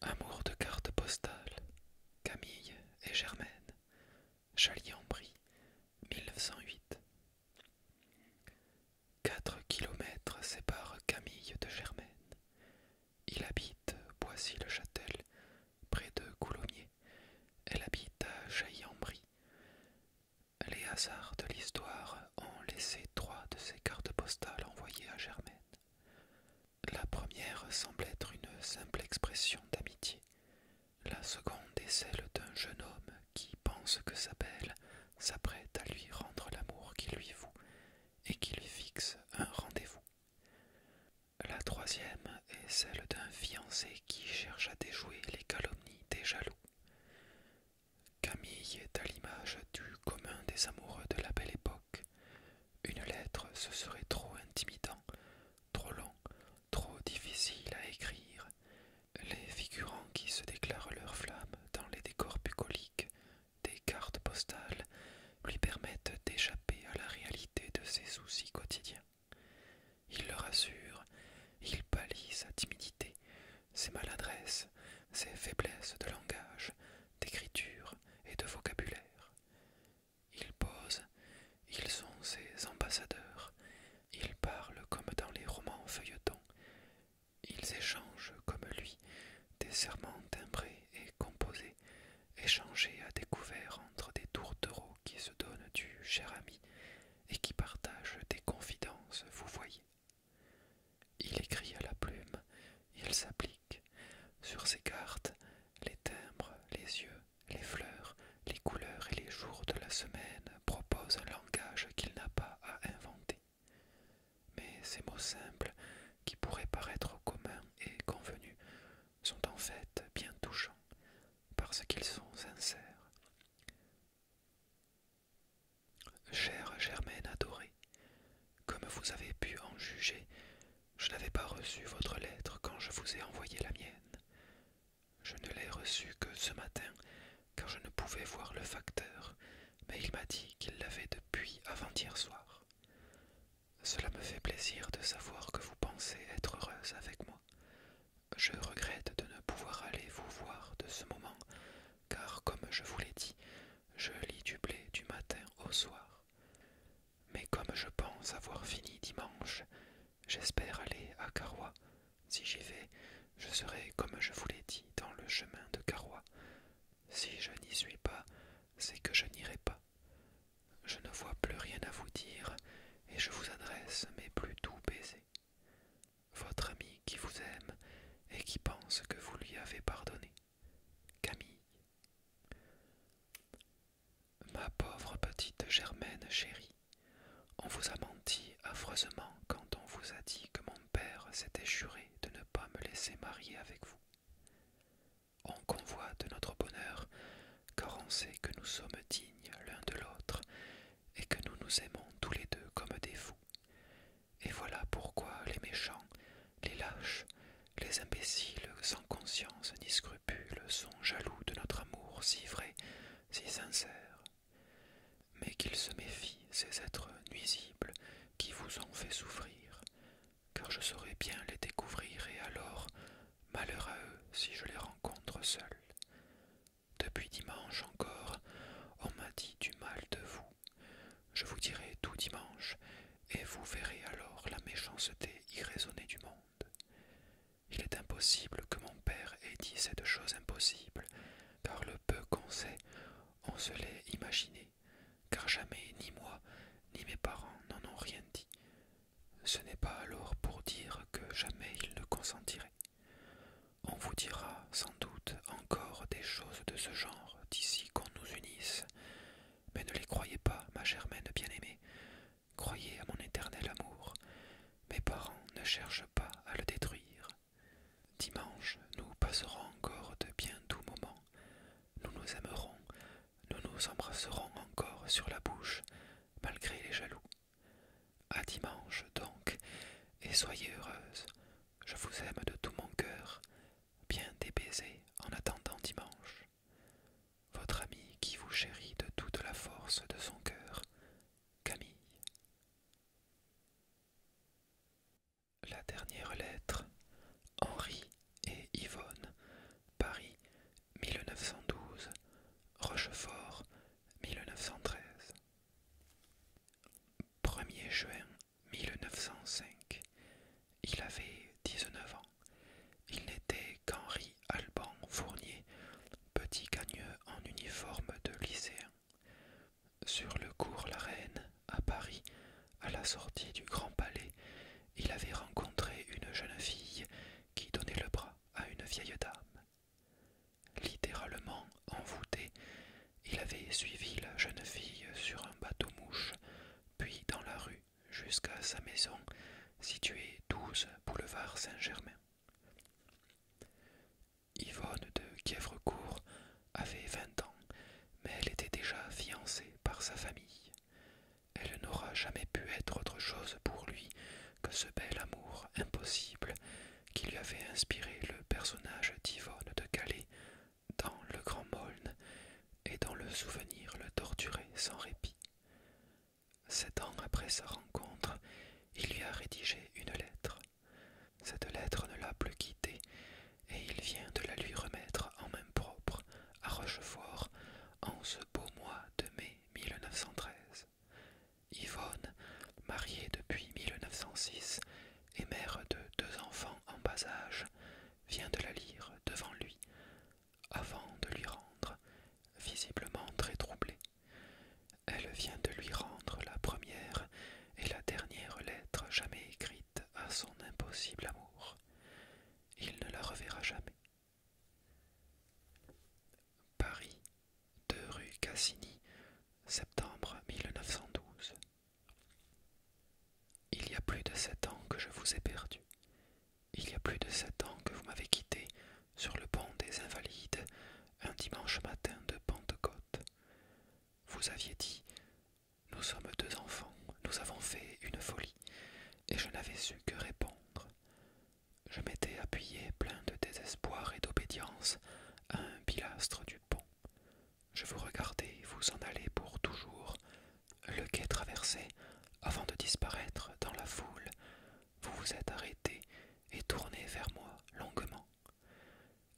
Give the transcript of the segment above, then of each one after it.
Amour de cartes postales, Camille et Germaine, Châlix-en-Brie, 1908. Quatre kilomètres séparent Camille de Germaine. Il habite Boissy-le-Châtel, près de Coulommiers. Elle habite à Châlix-en-Brie. Les hasards de l'histoire ont laissé trois de ces cartes postales envoyées à Germaine. La première semble être une simple expression d'amitié, la seconde est celle d'un jeune homme qui pense que sa belle s'apprête à lui rendre l'amour qu'il lui voue et qui lui fixe un rendez-vous. La troisième est celle d'un fiancé qui cherche à déjouer les calomnies des jaloux. Camille est à l'image du commun des amoureux de la belle époque. Une lettre, ce serait trop intimidant, trop long, trop difficile à écrire. Les figurants qui se déclarent leurs flammes dans les décors bucoliques des cartes postales lui permettent d'échapper à la réalité de ses soucis quotidiens. Il le rassure, il pâlit sa timidité, ses maladresses, ses faiblesses de langage, d'écriture et de vocabulaire. Ils posent, ils sont ses ambassadeurs, ils parlent comme dans les romans feuilletons, ils échangent comme lui des serments timbrés et composés, échangés à découvert entre des tourtereaux qui se donnent du cher ami et qui partagent des confidences, vous voyez. Il écrit à la plume, il s'applique sur ses cartes, les timbres, les yeux, les fleurs, les couleurs et les jours de la semaine proposent un langage qu'il n'a pas à inventer. Mais ces mots simples, qui pourraient paraître communs et convenus, sont en fait bien touchants, parce qu'ils sont sincères. Chère Germaine adorée, comme vous avez pu en juger, je n'avais pas reçu votre lettre quand je vous ai envoyé la mienne. Je ne l'ai reçue que ce matin, car je ne pouvais voir le facteur, mais il m'a dit qu'il l'avait depuis avant-hier soir. Cela me fait plaisir de savoir que vous pensez être heureuse avec moi. Je regrette de ne pouvoir aller vous voir de ce moment, car comme je vous l'ai dit, je lis du blé du matin au soir. Mais comme je pense avoir fini dimanche, j'espère aller à Carroix Si j'y vais, je serai, comme je vous l'ai dit, dans le chemin de Carroix. Si je n'y suis pas, c'est que je n'irai pas. Je ne vois plus rien à vous dire, et je vous adresse mes plus doux baisers. Votre ami qui vous aime et qui pense que vous lui avez pardonné. Camille. Ma pauvre petite Germaine chérie, on vous a menti affreusement quand on vous a dit que mon père s'était juré de ne pas me laisser marier avec vous. On convoit de notre bonheur car on sait que nous sommes dignes l'un de l'autre et que nous nous aimons tous les deux comme des fous. Et voilà pourquoi les méchants les lâches, les imbéciles sans conscience ni scrupules sont jaloux de notre amour si vrai, si sincère. Mais qu'ils se méfient, ces êtres nuisibles qui vous ont fait souffrir, car je saurais bien les découvrir et alors, malheureux, à eux si je les rencontre seuls. Depuis dimanche encore, on m'a dit du mal de vous. Je vous dirai tout dimanche, et vous verrez alors la méchanceté irraisonnée du monde. Il est impossible que mon père ait dit cette chose impossible, car le peu qu'on sait, on se l'est imaginé, car jamais ni moi ni mes parents n'en ont rien dit. Ce n'est pas alors pour dire que jamais ils ne consentiraient. On vous dira sans doute encore des choses de ce genre d'ici qu'on nous unisse, mais ne les croyez pas, ma germaine bien-aimée. Croyez à mon éternel amour. Mes parents ne cherchent pas à le détruire. Dimanche, nous passerons encore de bien doux moments. Nous nous aimerons, nous nous embrasserons encore sur la bouche, malgré les jaloux. À dimanche donc, et soyez heureuse. Je vous aime de tout mon cœur, bien des baisers en attendant dimanche. Votre ami qui vous chérit de toute la force de son cœur, Camille. La dernière lettre, Henri et Yvonne, Paris, 1912, Rochefort, 1913. 1er juin 1905. Il avait 19 ans. Il n'était qu'Henri Alban Fournier, petit cagneux en uniforme de lycéen. Sur le cours La Reine, à Paris, à la sortie du Grand Palais, il avait rencontré une jeune fille qui donnait le bras à une vieille dame. Littéralement envoûté, il avait suivi la jeune fille sur un bateau mouche, puis dans la rue, jusqu'à sa maison située douze boulevard Saint-Germain. Yvonne de Kièvrecourt avait vingt ans, mais elle était déjà fiancée par sa famille. Elle n'aura jamais pu être autre chose pour lui que ce bel amour impossible qui lui avait inspiré le personnage d'Yvonne de Calais dans le grand molne et dont le souvenir le torturait sans répit. Sept ans après sa rencontre, il lui a rédigé une lettre. Cette lettre ne l'a plus quittée et il vient de la lui remettre en main propre à Rochefort en ce beau mois de mai 1913. Yvonne, mariée depuis 1906 et mère de deux enfants en bas âge, vient de la lire devant lui, avant de lui rendre, visiblement très troublée. Elle vient de lui rendre la première et la dernière lettre jamais écrite à son impossible amour. Il ne la reverra jamais. Paris, 2 rue Cassini, septembre 1912. Il y a plus de sept ans que je vous ai perdu. Il y a plus de sept ans que vous m'avez quitté sur le pont des Invalides un dimanche matin de Pentecôte. Vous aviez dit Nous sommes deux enfants, nous avons fait une folie, et je n'avais su que répondre. Je m'étais appuyé plein de désespoir et d'obédience à un pilastre du pont. Je vous regardais vous en aller pour toujours, le quai traversé avant de disparaître dans la foule, vous vous êtes arrêté et tourné vers moi longuement.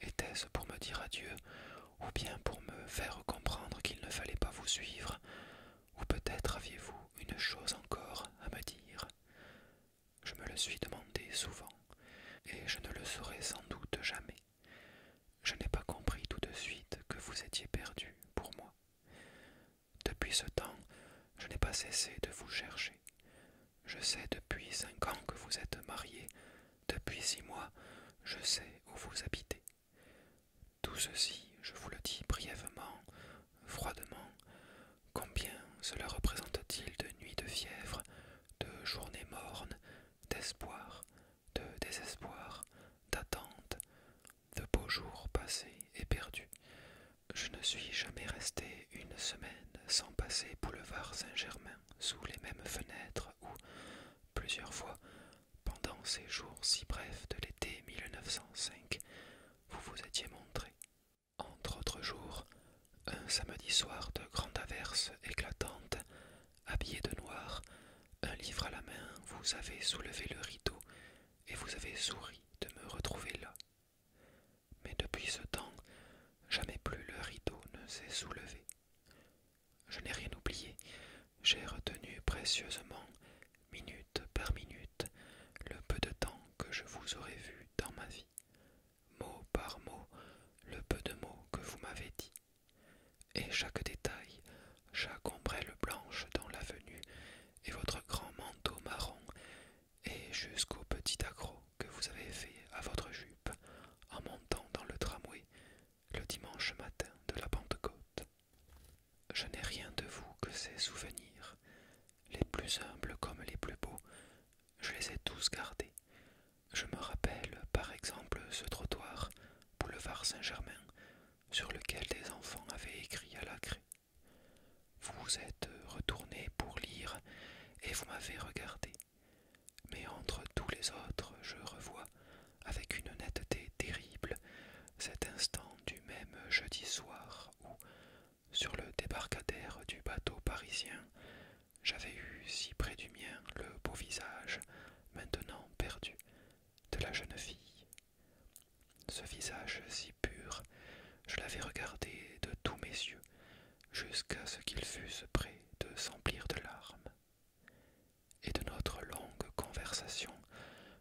Était-ce pour me dire adieu, ou bien pour me faire comprendre qu'il ne fallait pas vous suivre, ou peut-être aviez-vous une chose encore à me dire Je me le suis demandé souvent, et je ne le saurai sans doute jamais je n'ai pas compris tout de suite que vous étiez perdu pour moi. Depuis ce temps, je n'ai pas cessé de vous chercher. Je sais depuis cinq ans que vous êtes marié. depuis six mois, je sais où vous habitez. Tout ceci, je vous le dis brièvement, froidement. Combien cela représente-t-il de nuits de fièvre, de journées mornes, d'espoir, de désespoir, d'attente, de beaux jours passés et perdus. Je ne suis jamais resté une semaine sans passer boulevard Saint-Germain sous les mêmes fenêtres où, plusieurs fois, pendant ces jours si brefs de l'été 1905, vous vous étiez montré. Entre autres jours, un samedi soir de grande averse éclatante, habillé de noir, un livre à la main, vous avez soulevé le rideau et vous avez souri de me retrouver là. Mais depuis ce temps, jamais plus le rideau ne s'est soulevé. Je n'ai rien oublié, j'ai retenu précieusement, minute par minute, le peu de temps que je vous aurais vu dans ma vie, mot par mot, le peu de mots que vous m'avez dit. Et chaque détail, chaque ombrelle blanche dans l'avenue, et votre grand manteau marron, et jusqu'au petit accroc que vous avez fait à votre jupe en montant dans le tramway le dimanche matin de la Pentecôte. Je n'ai rien de vous que ces souvenirs, les plus humbles comme les plus beaux, je les ai tous gardés. Je me rappelle par exemple ce trottoir, boulevard Saint-Germain, sur lequel des enfants avaient écrit à la craie. Vous êtes retourné pour lire et vous m'avez regardé. Mais entre tous les autres, je revois, avec une netteté terrible, cet instant du même jeudi soir où, sur le débarcadère du bateau parisien, j'avais eu si près du mien le beau visage, maintenant perdu, de la jeune fille ce visage si pur, je l'avais regardé de tous mes yeux, jusqu'à ce qu'il fussent près de s'emplir de larmes. Et de notre longue conversation,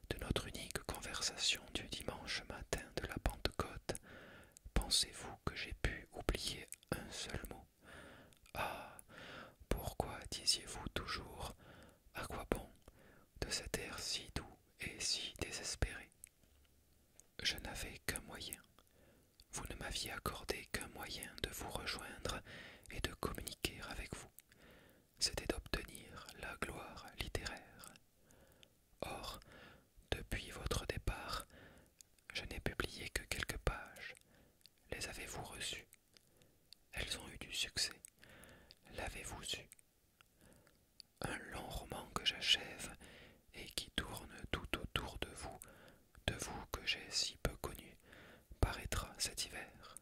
de notre unique conversation du dimanche matin de la Pentecôte, pensez-vous que j'ai pu oublier un seul mot Ah Pourquoi disiez-vous toujours à quoi bon de cet air si doux et si désespéré Je n'avais qu'un moyen. Vous ne m'aviez accordé qu'un moyen de vous rejoindre et de communiquer avec vous. C'était d'obtenir la gloire littéraire. Or, depuis votre départ, je n'ai publié que quelques pages. Les avez-vous reçues elles ont eu du succès. L'avez-vous eu Un long roman que j'achève et qui tourne tout autour de vous, de vous que j'ai si peu connu, paraîtra cet hiver.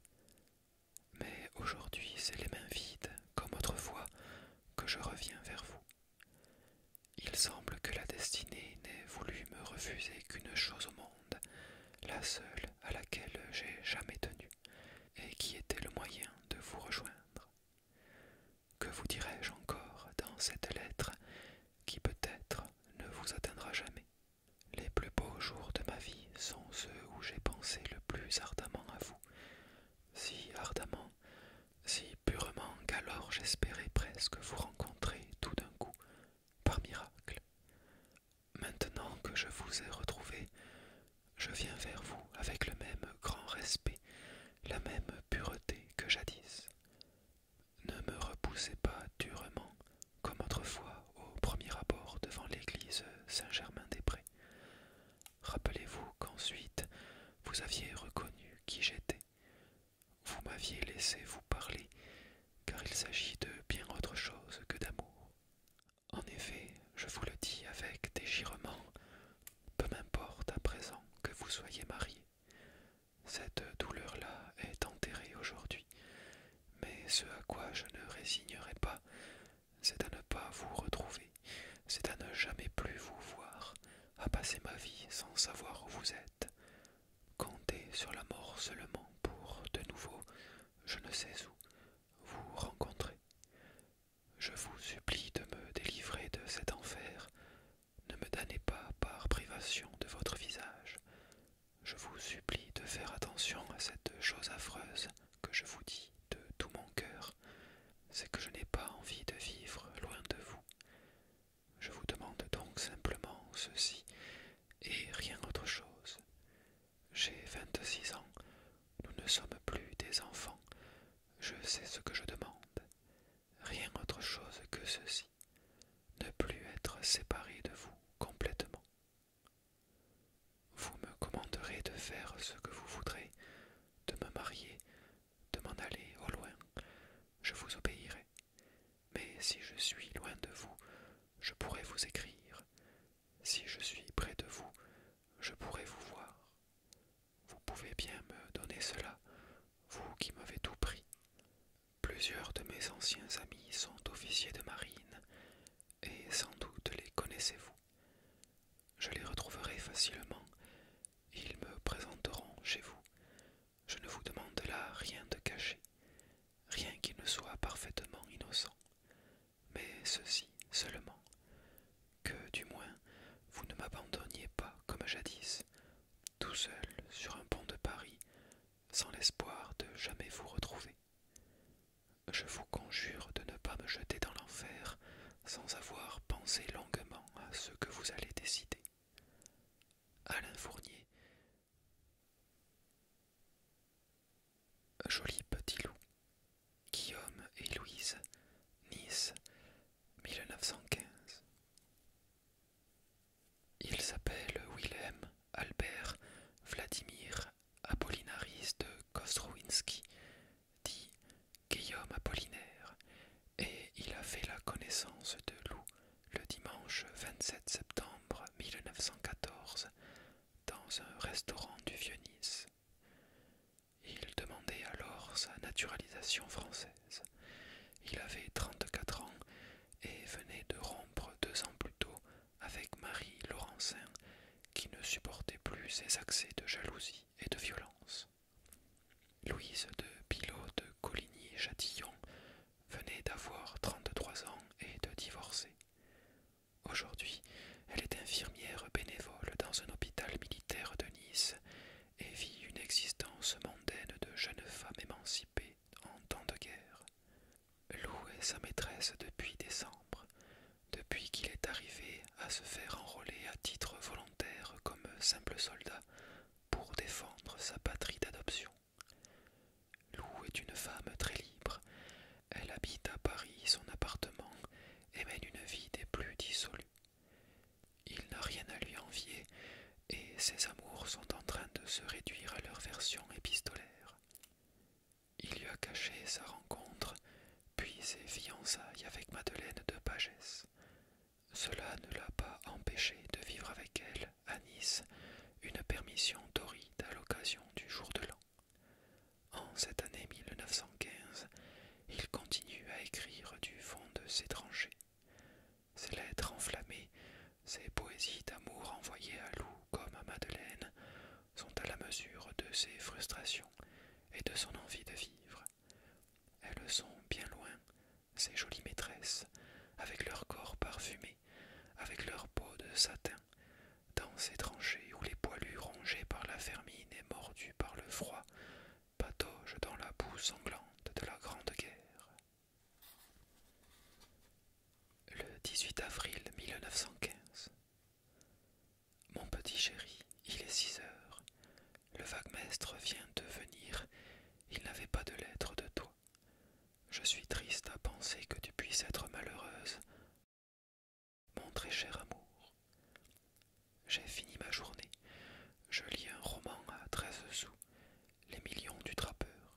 Mais aujourd'hui, c'est les mains vides, comme autrefois, que je reviens vers vous. Il semble que la destinée n'ait voulu me refuser qu'une chose au monde, la seule à laquelle j'ai jamais tenu et qui était le moyen de vous rejoindre. Que vous dirai-je encore dans cette lettre qui peut-être ne vous atteindra jamais Les plus beaux jours de ma vie sont ceux où j'ai pensé le plus ardemment à vous, si ardemment, si purement qu'alors j'espérais presque vous rencontrer tout d'un coup, par miracle. Maintenant que je vous ai retrouvé, je viens vers vous avec le même grand respect, la même pureté que jadis. Ne me repoussez pas durement, comme autrefois au premier abord devant l'église Saint-Germain-des-Prés. Rappelez-vous qu'ensuite vous aviez reconnu qui j'étais. Vous m'aviez laissé vous parler, car il s'agit de bien autre chose que d'amour. En effet, je vous le dis avec déchirement, peu m'importe à présent que vous soyez marié. Cette douleur-là est enterrée aujourd'hui, mais ce à quoi je ne résignerai pas, c'est à ne pas vous retrouver, c'est à ne jamais plus vous voir, à passer ma vie sans savoir où vous êtes. Comptez sur la mort seulement pour, de nouveau, je ne sais où, vous rencontrer. Je vous supplie de me délivrer de cet enfer. Ne me damnez pas par privation de votre visage. Je vous supplie de faire attention à cette chose affreuse que je vous dis de tout mon cœur. C'est que je n'ai pas envie de vivre loin de vous. Je vous demande donc simplement ceci et rien autre chose. J'ai vingt-six ans, nous ne sommes plus des enfants, je sais ce que je demande, rien autre chose que ceci, ne plus être séparé de vous complètement. Vous me commanderez de faire ce que vous voudrez, de me marier, de m'en aller au loin, je vous obéirai. Mais si je suis loin de vous, je pourrai vous écrire, si je suis près de vous, je pourrai vous voir. Vous pouvez bien me donner cela, vous qui m'avez tout pris. Plusieurs de mes anciens amis sont officiers de marine, et sans doute les connaissez-vous. Je les retrouverai facilement. Ils me présenteront chez vous. Je ne vous demande là rien de caché, rien qui ne soit parfaitement innocent mais ceci seulement, que du moins vous ne m'abandonniez pas comme jadis, tout seul sur un pont de Paris, sans l'espoir de jamais vous retrouver. Je vous conjure de ne pas me jeter dans l'enfer sans avoir pensé longuement à ce que vous allez décider. Alain Fournier Joli petit loup. Guillaume et Louise, Nice, 1915. Il s'appelle Wilhelm Albert, Vladimir, Apollinaris de Kostrowinski, dit Guillaume Apollinaire, et il a fait la connaissance de Lou le dimanche 27 septembre 1914 dans un restaurant du Vieux-Nice. Il demandait alors sa naturalisation française. Il avait 34 ans et venait de rompre deux ans plus tôt avec Marie Laurencin, qui ne supportait plus ses accès de jalousie et de violence. Louise de Pilot de Coligny-Châtillon venait d'avoir 33 ans et de divorcer. Aujourd'hui, elle est infirmière bénévole dans un hôpital militaire de Nice et vit une existence mondaine de jeune femme émancipée en temps de guerre. Lou est sa maîtresse depuis décembre, depuis qu'il est arrivé à se faire enrôler à titre volontaire comme simple soldat pour défendre sa patrie d'adoption. Lou est une femme très libre, elle habite à Paris son appartement et mène une vie des plus dissolues. Il n'a rien à lui envier, et ses amours sont en train de se réduire à leur version épistolaire. Il lui a caché sa rencontre, puis ses fiançailles avec Madeleine de Pagès. Cela ne l'a pas empêché de vivre avec elle, à Nice, une permission doride à l'occasion du jour de l'an. En cette année 1915, il continue à écrire du fond de ses tranchées. Ses lettres enflammées, ses poésies d'amour envoyées à Lou comme à Madeleine sont à la mesure de ses frustrations et de son envie de vivre. Elles sont bien loin, ces jolies maîtresses, avec leurs corps parfumés, avec leurs peau de satin dans ces tranchées où les poilus rongés par la fermine et mordus par le froid pataugent dans la boue sanglante de la Grande Guerre. Le 18 avril 1915. Mon petit chéri, il est six heures. Le vague-mestre vient de venir. Il n'avait pas de lettre de toi. Je suis triste à penser que tu puisses être malheureuse mon très cher amour, j'ai fini ma journée. Je lis un roman à treize sous, Les millions du trappeur.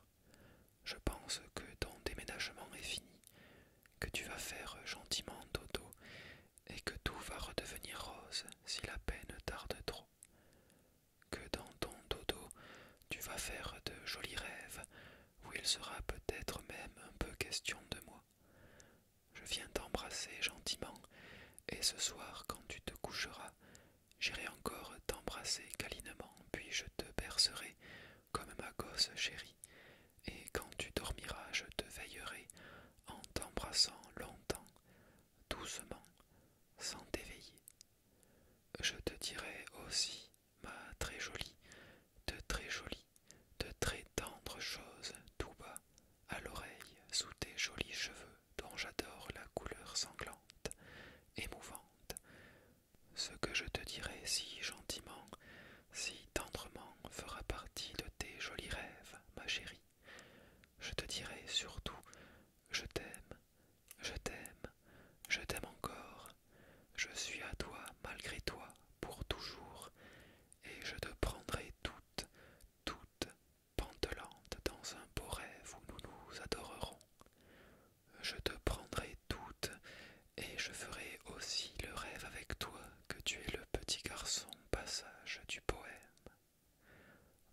Je pense que ton déménagement est fini, que tu vas faire gentiment dodo et que tout va redevenir rose si la peine tarde trop. Que dans ton dodo, tu vas faire de jolis rêves où il sera peut-être même un peu question de moi. Je viens t'embrasser gentiment, et ce soir, quand tu te coucheras, j'irai encore t'embrasser câlinement, puis je te bercerai comme ma gosse chérie, et quand tu dormiras, je te veillerai en t'embrassant longtemps, doucement, sans t'éveiller. Je te dirai aussi, ma très jolie, de très jolie de très tendres choses tout bas à l'oreille sous tes jolis cheveux dont j'adore la couleur sanglante, émouvante. Ce que je te dirai si gentiment, si tendrement fera partie de tes jolis rêves, ma chérie. Je te dirai surtout je t'aime, je t'aime, je t'aime encore. Je suis à toi malgré toi pour toujours et je te prendrai toutes, toutes pantelante dans un beau rêve où nous nous adorerons. Je te prendrai toutes, et je ferai aussi le rêve avec toi que tu es le petit garçon passage du poème.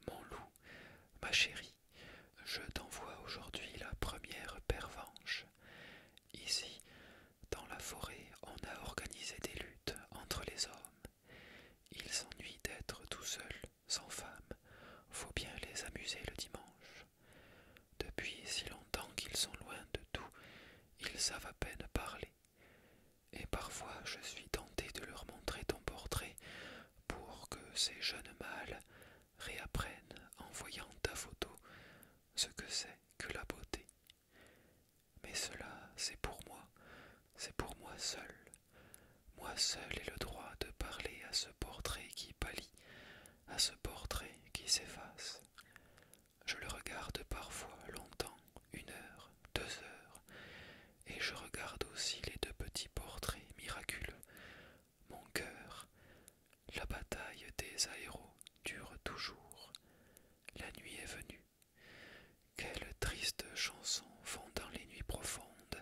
Mon loup, ma chérie, je t'envoie aujourd'hui la première pervenche. Ici, dans la forêt, on a organisé des luttes entre les hommes. Ils s'ennuient d'être tout seuls, sans femme. Faut bien les amuser le dimanche. Depuis si longtemps qu'ils sont loin de tout, ils savent à peine parler. Et parfois je suis tentée de leur montrer ton portrait pour que ces jeunes mâles réapprennent en voyant ta photo ce que c'est que la beauté. Mais cela, c'est pour moi, c'est pour moi seul. Moi seul ai le droit de parler à ce portrait qui pâlit, à ce portrait qui s'efface. Je le regarde parfois longtemps, une heure, deux heures, et je regarde aussi les deux petits portraits miraculeux. Mon cœur, la bataille des aéros dure toujours la nuit est venue. quelles triste chanson font dans les nuits profondes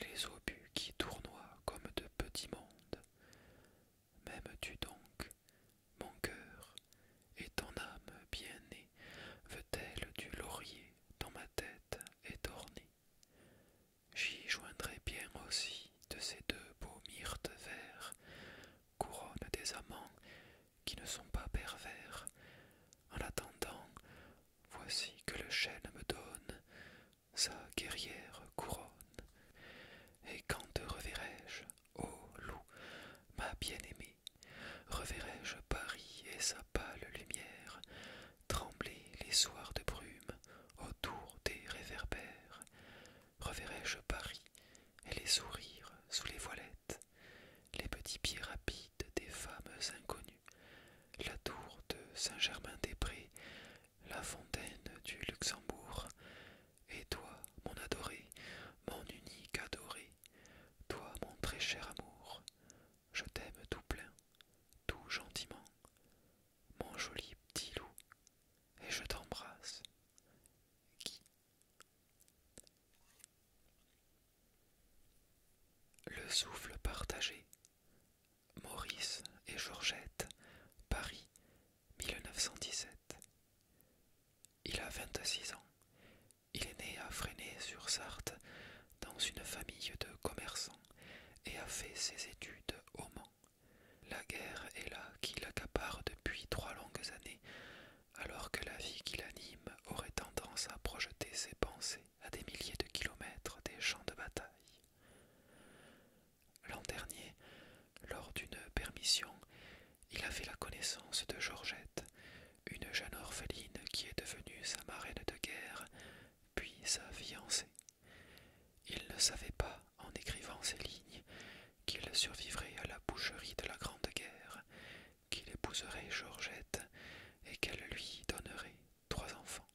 les obus qui tournoient comme de petits mondes. M'aimes-tu donc, mon cœur, et ton âme bien née veut-elle du laurier dont ma tête est ornée J'y joindrai bien aussi de ces deux beaux myrtes verts couronne des amants qui ne sont pas pervers. En l'attendant, voici que le chêne me donne sa guerrière couronne. Et quand te reverrai-je, ô loup, ma bien-aimée, reverrai-je Paris et sa pâle lumière, trembler les soirs de brume autour des réverbères reverrai-je Paris et les sourires sous les voilettes, les petits pieds rapides des femmes inconnues, la tour de Saint-Germain-des-Prés, la fontaine du Luxembourg, et toi, mon adoré, mon unique adoré, toi, mon très cher amour, je t'aime tout plein, tout gentiment, mon joli petit loup, et je t'embrasse. Qui le souffle partagé. Maurice et Georgette, Paris, 1917. Il a 26 ans. Il est né à Fresnay-sur-Sarthe dans une famille de commerçants et a fait ses études au Mans. La guerre est là qui l'accapare depuis trois longues années alors que la vie qui l'anime aurait tendance à projeter ses pensées à des milliers de kilomètres des champs de bataille. L'an dernier, lors d'une permission, il a fait la connaissance de Georgette, une jeune orpheline qui est devenue sa marraine de guerre, puis sa fiancée. Il ne savait pas, en écrivant ces lignes, qu'il survivrait à la boucherie de la Grande Guerre, qu'il épouserait Georgette et qu'elle lui donnerait trois enfants.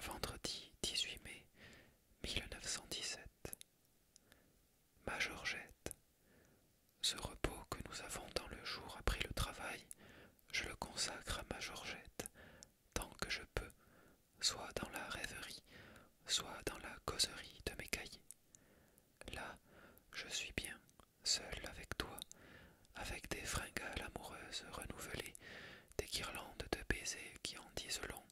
Vendredi 18 mai 1917. Ma Georgette, ce repos que nous avons dans le jour après le travail, je le consacre à ma Georgette, tant que je peux, soit dans la rêverie, soit dans la causerie de mes cahiers. Là, je suis bien, seul avec toi, avec des fringales amoureuses renouvelées, des guirlandes de baisers qui en disent long,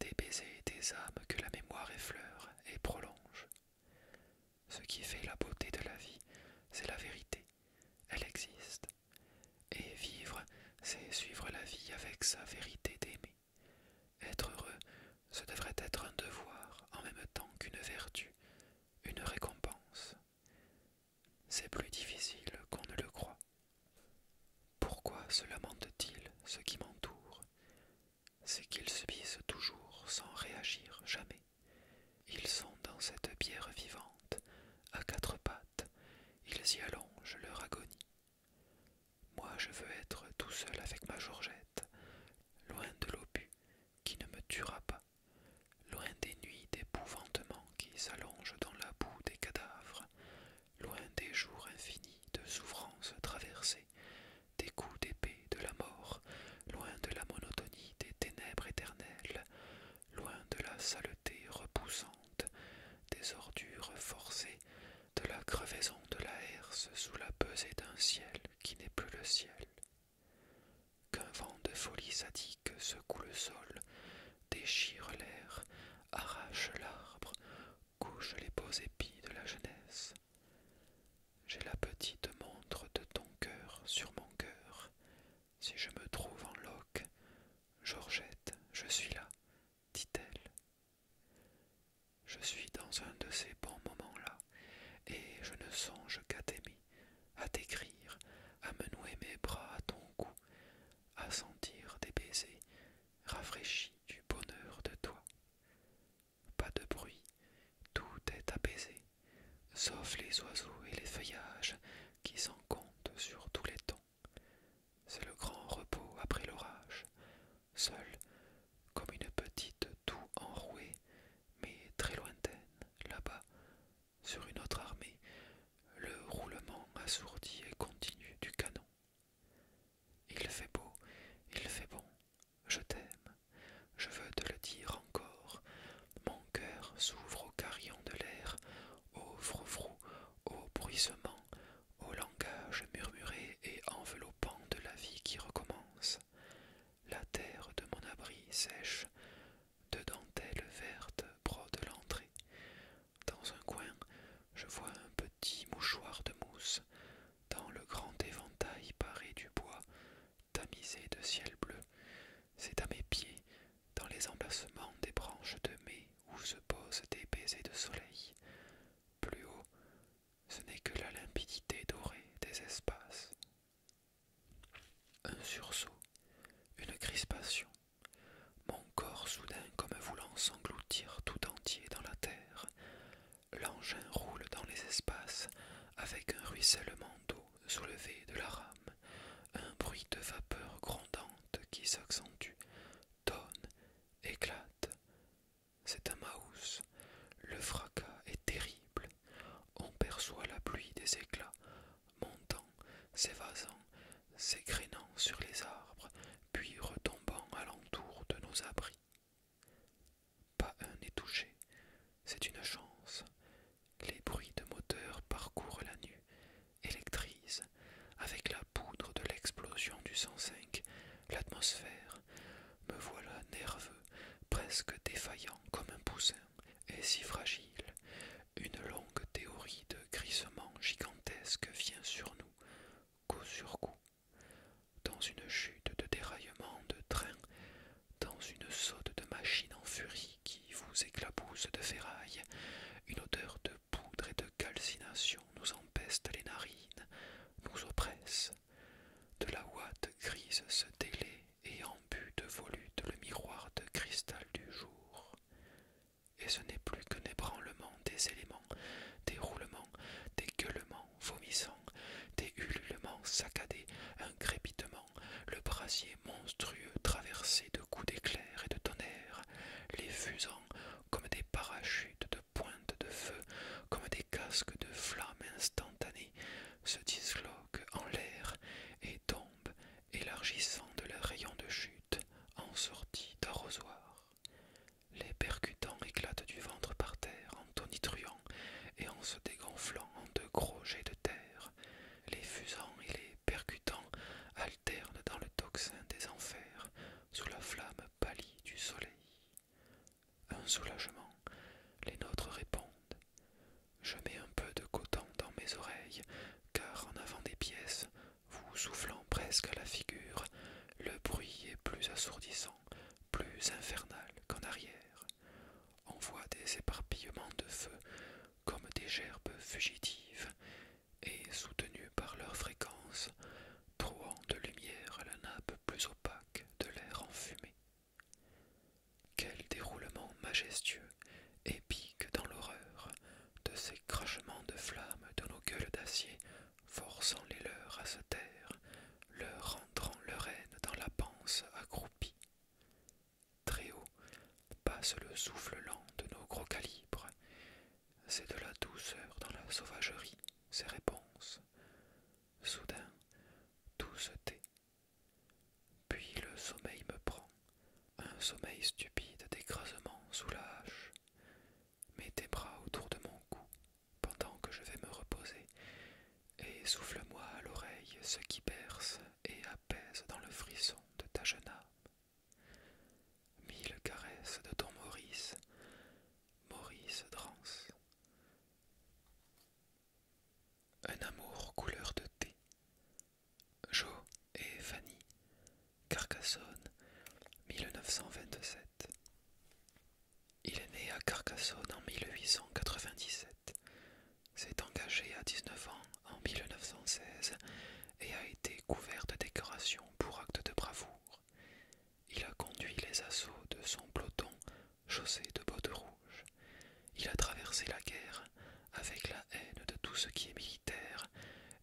des baisers des âmes que la mémoire effleure et prolonge. Ce qui fait la beauté de la vie, c'est la vérité, elle existe. Et vivre, c'est suivre la vie avec sa vérité d'aimer. Être heureux, ce devrait être un devoir en même temps qu'une vertu, une récompense. C'est plus difficile qu'on ne le croit. Pourquoi se lamentent-ils ce qui m'entoure C'est qu'ils subissent toujours sans réagir jamais. Ils sont dans cette bière vivante, à quatre pattes, ils y allongent leur agonie. Moi je veux être tout seul avec ma Georgette, loin de l'obus qui ne me tuera pas, loin des nuits d'épouvantement qui s'allongent dans la boue des cadavres, loin des jours infinis de souffrances traversées, des coups d'épée de la mort, loin de la monotonie des ténèbres éternelles, loin de la saleté repoussante, des ordures forcées de la crevaison de la herse sous la pesée d'un ciel qui n'est plus le ciel, qu'un vent de folie sadique secoue le sol, déchire l'air, arrache l'arbre, couche les beaux épis de la jeunesse. J'ai la petite montre de ton cœur sur mon cœur. Si je me trouve en loque, Georgette, je suis là, dit-elle. Je suis dans un de ces bons moments-là, et je ne songe qu'à t'aimer, à t'écrire, à me nouer mes bras à ton cou, à sentir des baisers rafraîchis du bonheur de toi. Pas de bruit, tout est apaisé, sauf les oiseaux et les feuillages qui s'en comptent sur tous les tons. C'est le grand repos après l'orage, seul, comme une petite toux enrouée, mais très lointaine, là-bas, sur une autre armée, le roulement assourdi et continu du canon. Il fait beau, il fait bon, je t'aime, je veux te le dire encore. Mon cœur s'ouvre au carillon de l'air, au frou au bruissement au langage murmuré et enveloppant de la vie qui recommence. La terre de mon abri sèche, de dentelles vertes brode l'entrée. Dans un coin, je vois un petit mouchoir de mousse, dans le grand éventail paré du bois, tamisé de ciel bleu. C'est à mes pieds, dans les emplacements des branches de mai, où se posent des baisers de soleil. Plus haut, ce n'est que la limpidité dorée des espaces. Un sursaut, une crispation, mon corps soudain comme voulant s'engloutir tout entier dans la terre. L'engin roule dans les espaces avec un ruissellement d'eau soulevé de la rame, un bruit de vapeur grondante qui s'accentue, tonne, éclate, c'est un Maus. Le fracas est terrible. On perçoit la pluie des éclats, montant, s'évasant, s'écrénant sur les arbres, puis retombant à l'entour de nos abris. Pas un n'est touché, c'est une chance. Les bruits de moteurs parcourent la nuit, électrisent, avec la poudre de l'explosion du 105, l'atmosphère. Me voilà nerveux, presque défaillant comme un poussin, et si fragile. Une longue théorie de grisement gigantesque vient sur nous, coup sur coup, dans une chute de déraillement de train, dans une saute de machine en furie qui vous éclabousse de ferraille, une odeur de poudre et de calcination nous empeste les narines, nous oppresse. De la ouate grise se délaie et embut de volute le miroir de cristal du jour. Et ce n'est plus qu'un ébranlement des éléments, des roulements, des gueulements vomissants, des ululements saccadés, un crépitement, le brasier monstrueux traversé de coups d'éclairs et de tonnerre, les fusants comme des parachutes de pointes de feu, comme des casques de flammes instantanées, se disloquent en l'air et tombent, élargissant de leurs rayons de chute en sortie d'arrosoir. Les percutants éclatent du ventre par terre en tonitruant et en se dégonflant en de gros jets de terre. Les fusants et les percutants alternent dans le tocsin des enfers sous la flamme pâlie du soleil. Un soulagement. Les nôtres répondent. Je mets un peu de coton dans mes oreilles, car en avant des pièces, vous soufflant presque à la figure, le bruit est plus assourdissant, plus infernal qu'en arrière. On voit des éparpillements de feu comme des gerbes fugitives, et soutenues par leur fréquence, trouant de lumière la nappe plus opaque de l'air enfumé. Quel déroulement majestueux, épique dans l'horreur, de ces crachements de flammes de nos gueules d'acier, forçant les leurs à se taire, leur rentrant leur haine dans la panse accroupie. Très haut passe le souffle lent de nos gros calibres, c'est de la douceur dans la sauvagerie, ces réponses. Soudain, tout se tait. Puis le sommeil me prend, un sommeil stupide d'écrasement sous la hache. Mets tes bras autour de mon cou pendant que je vais me reposer, et souffle-moi à l'oreille ce qui berce et apaise dans le frisson de ta jeune âme. Mille caresses de ton Maurice, Maurice Drance. Un amour couleur de thé. Jo et Fanny. Carcassonne, 1927. Il est né à Carcassonne en 1897, s'est engagé à 19 ans en 1916 et a été couvert de décorations pour actes de bravoure. Il a conduit les assauts de son peloton chaussé de bottes rouges. Il a traversé la guerre avec la haine de tout ce qui est militaire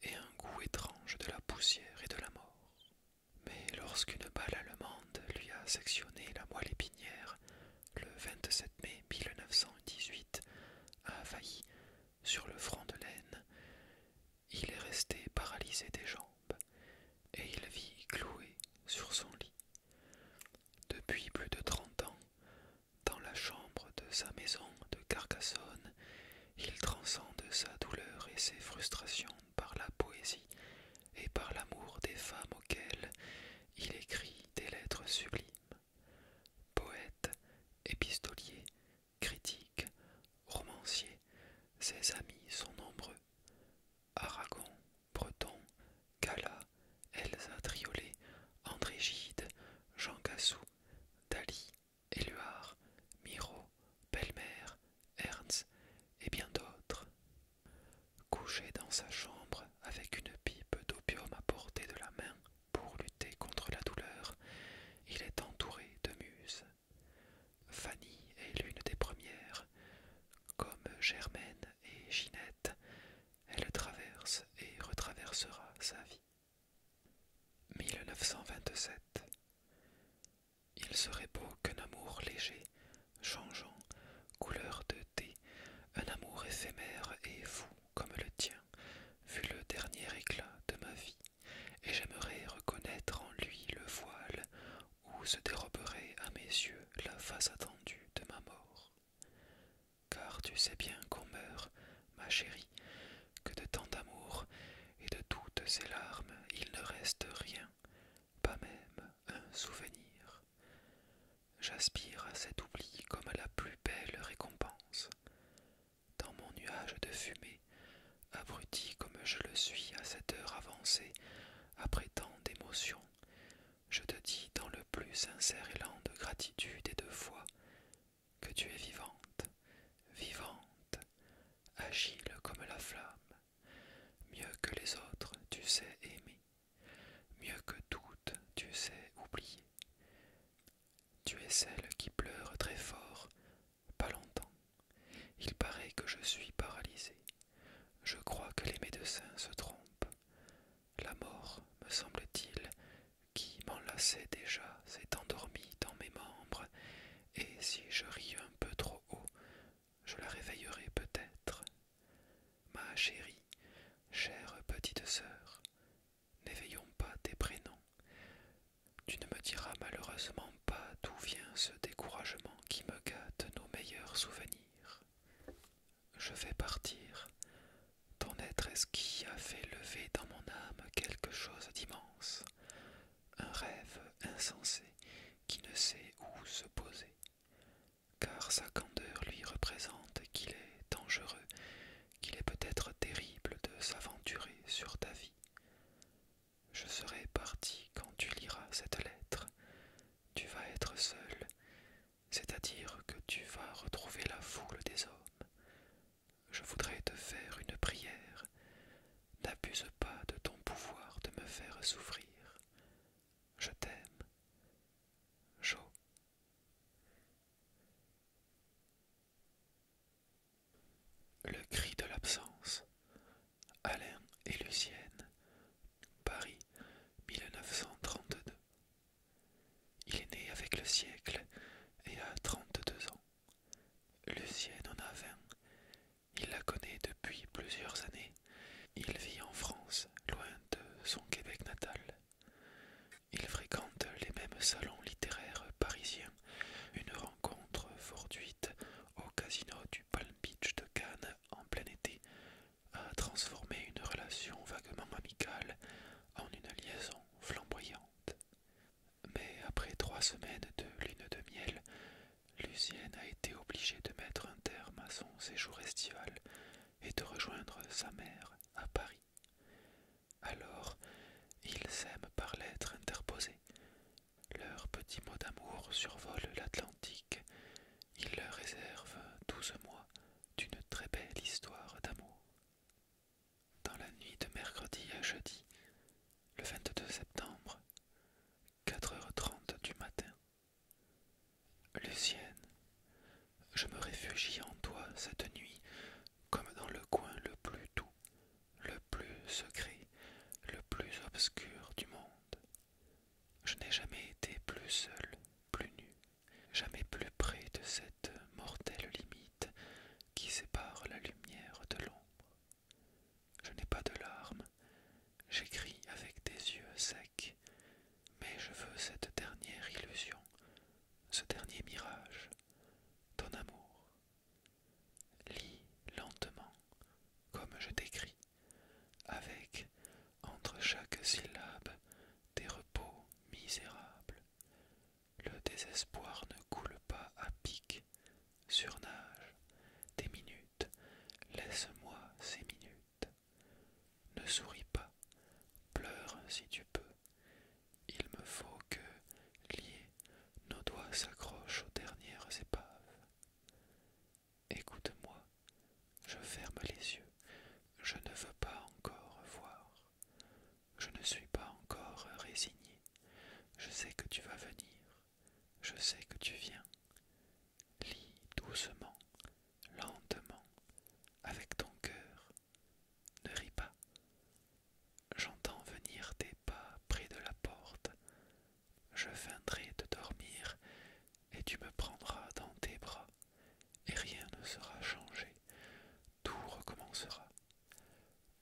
et un goût étrange de la poussière et de la mort. Mais lorsqu'une balle allemande lui a sectionné la moelle épinière, le 27 mai 1918, à failli sur le front de l'Aisne, il est resté paralysé des jambes, et il vit cloué sur son lit, depuis plus de trente ans, dans la chambre de sa maison de Carcassonne, il transcende sa douleur et ses frustrations par la poésie et par l'amour des femmes auxquelles il écrit des lettres sublimes. Poète, épistolier, critique, romancier, ses amis sont nombreux Aragon, Breton, Gala, Elsa Triolet, André Gide, Jean Cassou, Dali, Éluard, Miro, Belmer, Ernst et bien d'autres. Couché dans sa chambre avec une pipe d'opium à portée de la main pour lutter contre la douleur, il est entouré de muses Fanny est l'une des premières. Comme Germaine et Ginette, elle traverse et retraversera sa vie. 1927 Il serait beau qu'un amour léger, changeant, couleur de thé, un amour éphémère et fou comme le tien, fût le dernier éclat de ma vie, et j'aimerais reconnaître en lui le voile où se déroberait à mes yeux la face attendue de ma mort. Car tu sais bien qu'on meurt, ma chérie, que de tant d'amour et de toutes ces larmes il ne reste rien, pas même un souvenir. J'aspire à cet oubli comme à la plus belle récompense. Dans mon nuage de fumée, abruti comme je le suis à cette heure avancée, après tant d'émotions, je te dis dans le plus sincère élan de gratitude et de foi que tu es vivante, vivante, agile comme la flamme, mieux que les autres tu sais aimer, mieux que toutes tu sais oublier. Tu es celle qui pleure très fort pas longtemps. Il paraît que je suis paralysé. Je crois que les médecins se trompent. La mort, me semble-t-il, qui m'enlaçait déjà, s'est endormie dans mes membres, et si je ris un peu trop haut, je la réveillerai peut-être. Ma chérie, chère petite sœur, n'éveillons pas tes prénoms. Tu ne me diras malheureusement pas d'où vient ce découragement qui me gâte nos meilleurs souvenirs. Je vais partir. Ton être qui a fait lever dans mon âme quelque chose d'immense, un rêve insensé qui ne sait où se poser, car sa candeur lui représente qu'il est dangereux, qu'il est peut-être terrible de s'aventurer sur ta vie. Je serai parti quand tu liras cette lettre. Tu vas être seul, c'est-à-dire que tu vas retrouver la foule des hommes. Je voudrais te faire une prière. N'abuse pas de ton pouvoir de me faire souffrir. Je t'aime. Jo. Le cri de l'absence. Alain et Lucienne, Paris, 1932. Il est né avec le siècle et a 32 ans. Lucienne en a 20. Il la connaît depuis plusieurs années. Il vit en France, loin de son Québec natal. Il fréquente les mêmes salons littéraires parisiens. Une rencontre fortuite au casino du Palm Beach de Cannes en plein été a transformé une relation vaguement amicale en une liaison flamboyante. Mais après trois semaines de lune de miel, Lucienne a été obligée de mettre un terme à son séjour estival et de rejoindre sa mère à Paris. Alors, il s'aiment par l'être interposé. Leurs petits mots d'amour survolent l'Atlantique. Ils leur réservent douze mois d'une très belle histoire d'amour. Dans la nuit de mercredi à jeudi, le 22 septembre, 4h30 du matin. Lucienne, je me réfugie en toi cette nuit comme dans le coin le plus doux, le plus secret, le plus obscur du monde. Je n'ai jamais été plus seul, plus nu, jamais plus près de cette mortelle limite qui sépare la lumière de l'ombre. Je n'ai pas de larmes, j'écris avec des yeux secs, mais je veux cette dernière illusion, ce dernier mirage, ton amour. Lis lentement, comme je t'écris, avec entre chaque syllabe des repos misérables. Le désespoir ne coule pas à pic, surnage, des minutes, laisse-moi ces minutes. Ne souris pas, pleure si tu peux. Il me faut que, liés, nos doigts s'accrochent aux dernières épaves. Écoute-moi, je ferme les yeux, je ne veux pas encore voir, je ne suis pas encore résigné, je sais que tu vas venir, je sais que tu viens. Lis doucement, lentement, avec ton cœur, ne ris pas. J'entends venir tes pas près de la porte, je viendrai de dormir, et tu me prendras dans tes bras, et rien ne sera changé, tout recommencera.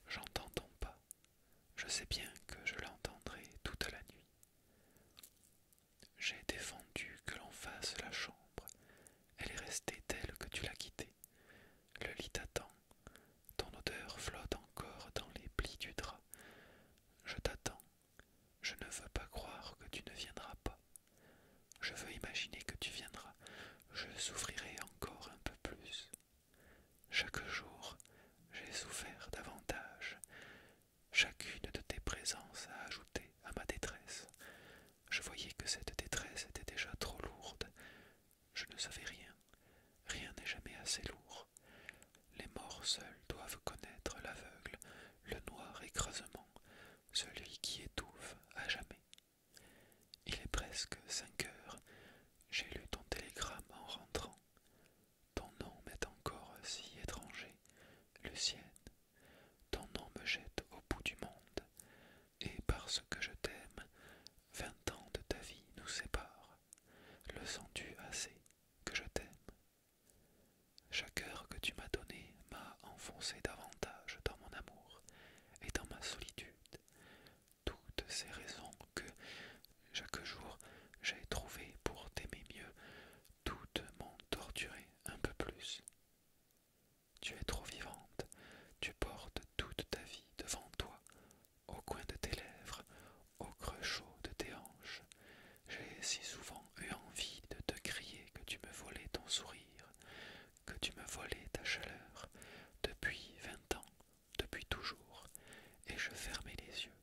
J'entends ton pas, je sais bien que je l'entendrai toute la nuit. J'ai défendu que l'on fasse la chambre, elle est restée telle que tu l'as quittée. Le lit t'attend, ton odeur flotte encore dans les plis du drap. Je t'attends, je ne veux pas croire que tu ne viendras pas. Je veux imaginer que tu viendras. Je souffrirai encore un peu plus. Chaque jour, j'ai souffert davantage. Chacune de tes présences a ajouté à ma détresse. Je voyais que cette détresse était déjà trop lourde. Je ne savais rien. Rien n'est jamais assez lourd les morts seuls doivent connaître l'aveugle, le noir écrasement, celui qui étouffe à jamais. Il est presque cinq heures, j'ai lu ton télégramme en rentrant. Ton nom m'est encore si étranger, le Lucienne. Ton nom me jette au bout du monde, et parce que je t'aime, vingt ans de ta vie nous séparent. Le sens-tu assez que je t'aime chaque heure que tu m'as donnée m'a enfoncé davantage dans mon amour et dans ma solitude. Toutes ces raisons que, chaque jour, j'ai trouvées pour t'aimer mieux, toutes m'ont torturé un peu plus. Tu es trop vivante, tu portes toute ta vie devant toi, au coin de tes lèvres, au creux chaud de tes hanches. J'ai si souvent eu envie de te crier que tu me volais ton sourire, que tu me volais ta chaleur, depuis vingt ans, depuis toujours, et je fermais les yeux,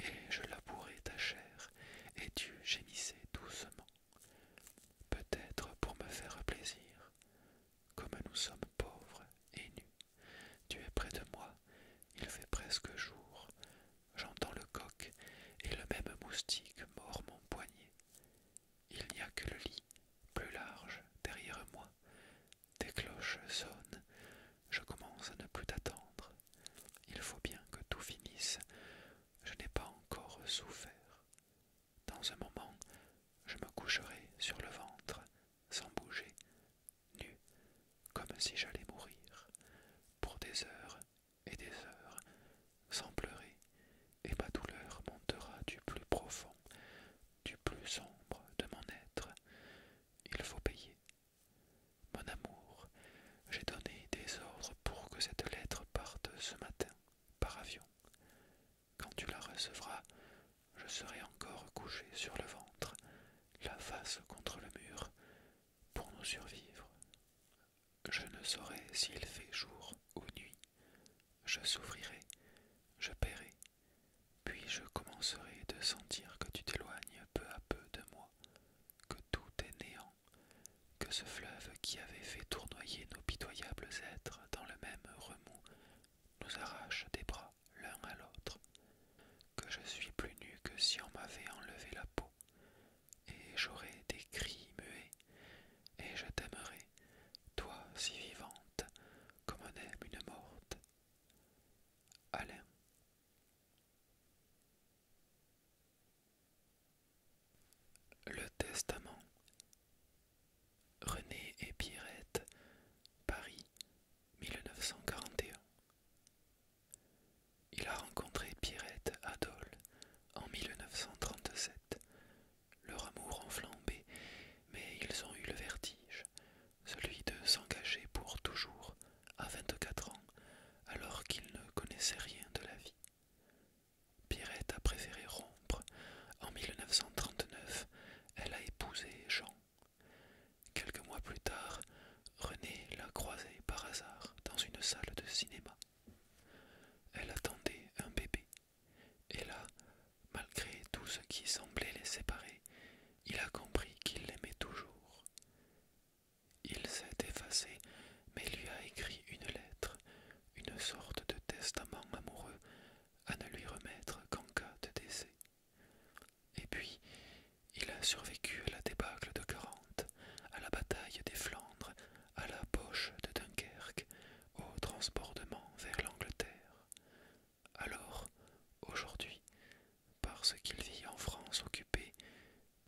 et je labourais ta chair, et tu gémissais doucement. Peut-être pour me faire plaisir, comme nous sommes pauvres et nus. Tu es près de moi, il fait presque jour, j'entends le coq et le même moustique mord mon poignet. Il n'y a que le lit, plus large, derrière moi. Des cloches sonnent, je commence à ne plus t'attendre. Il faut bien que tout finisse, je n'ai pas encore souffert. Dans un moment, je me coucherai sur le ventre, sans bouger, comme si j'allais mourir, pour des heures et des heures, sans pleurer, et ma douleur montera du plus profond, du plus sombre de mon être. Il faut payer. Mon amour, j'ai donné des ordres pour que cette lettre parte ce matin par avion. Quand tu la recevras, je serai encore couché sur le ventre, la face contre le mur, pour nous survivre. Je ne saurais s'il fait jour ou nuit. Je souffrirai, je paierai, puis je commencerai de sentir que tu t'éloignes peu à peu de moi, que tout est néant, que ce fleuve qui avait fait tournoyer nos pitoyables êtres dans le même remous nous arrache des bras l'un à l'autre, que je suis plus nu que si on m'avait enlevé la peau et j'aurai des cris muets, et je t'aimerai, toi si vivante, comme on aime une morte. Alain. Le Testament. René et Pierrette, Paris, 1941. Il a rencontré Pierrette Adol en 1937. Leur amour enflammé mais ils ont eu le vertige, celui de s'engager pour toujours à 24 ans, alors qu'ils ne connaissaient rien de la vie. Pierrette a préféré rompre. En 1939, elle a épousé Jean. Quelques mois plus tard, René l'a croisée par hasard dans une salle de cinéma. Elle attendait un bébé, et là, malgré tout ce qui semblait les séparer, il a compris qu'il l'aimait toujours. Il s'est effacé, mais lui a écrit une lettre, une sorte de testament amoureux à ne lui remettre qu'en cas de décès. Et puis, il a survécu à la débâcle de Courante, à la bataille des Flandres, à la poche de Dunkerque, au transbordement vers l'Angleterre. Alors, aujourd'hui, parce qu'il vit en France occupée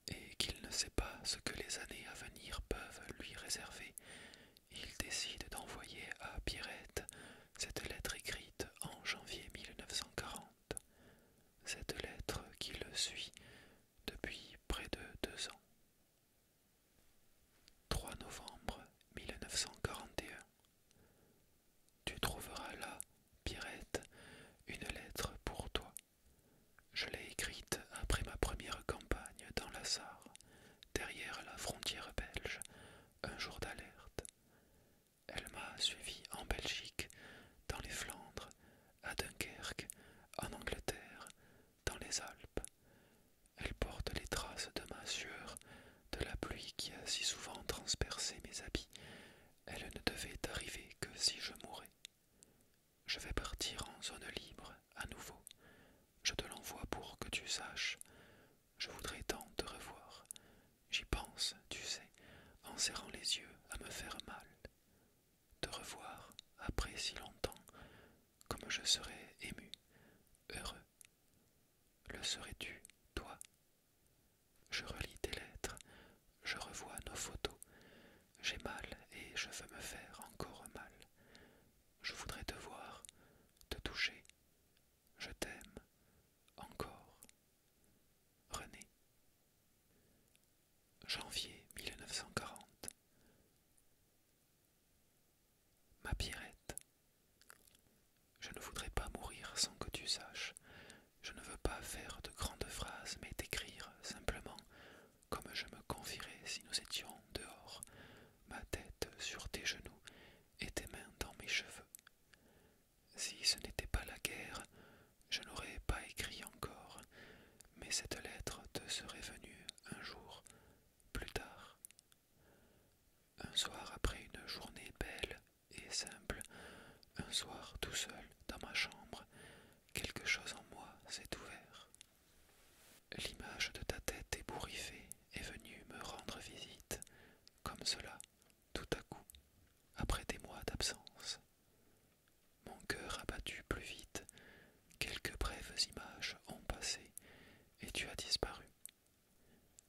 et qu'il ne sait pas ce que les années à venir peuvent lui réserver, il décide d'envoyer à Pierrette cette lettre écrite en janvier 1940 cette lettre qui le suit depuis près de deux ans. 3 novembre 1941. Tu trouveras là, Pierrette, une lettre pour toi. Je l'ai écrite après ma première campagne dans la Sarre, derrière la frontière belge, un jour d'alerte. Elle m'a suivi en Belgique, dans les Flandres, à Dunkerque, en Angleterre, dans les Alpes. Elle porte les traces de ma sueur, de la pluie qui a si souvent transpercé mes habits. Elle ne devait arriver que si je mourais. Je vais partir en zone libre, à nouveau. Je te l'envoie pour que tu saches. Je voudrais tant te revoir. J'y pense, tu sais, en serrant les yeux à me faire mal de revoir, après si longtemps, comme je serais ému, heureux. Le serais-tu, toi Je relis tes lettres, je revois nos photos. J'ai mal et je veux me faire encore mal. Je voudrais te voir, te toucher. Je t'aime encore. René. Janvier 1940. Ma Pierrette. Je ne voudrais pas mourir sans que tu saches. Je ne veux pas faire de grandes phrases, mais t'écrire simplement comme je me confierais si nous étions dehors, ma tête sur tes genoux et tes mains dans mes cheveux. Si ce n'était pas la guerre, je n'aurais pas écrit encore, mais cette lettre te serait venue un jour plus tard. Un soir après une journée belle et simple, un soir tout seul dans ma chambre, quelque chose en moi s'est ouvert. L'image de ta tête ébouriffée est venue me rendre visite, comme cela, tout à coup, après des mois d'absence. Mon cœur a battu plus vite, quelques brèves images ont passé, et tu as disparu.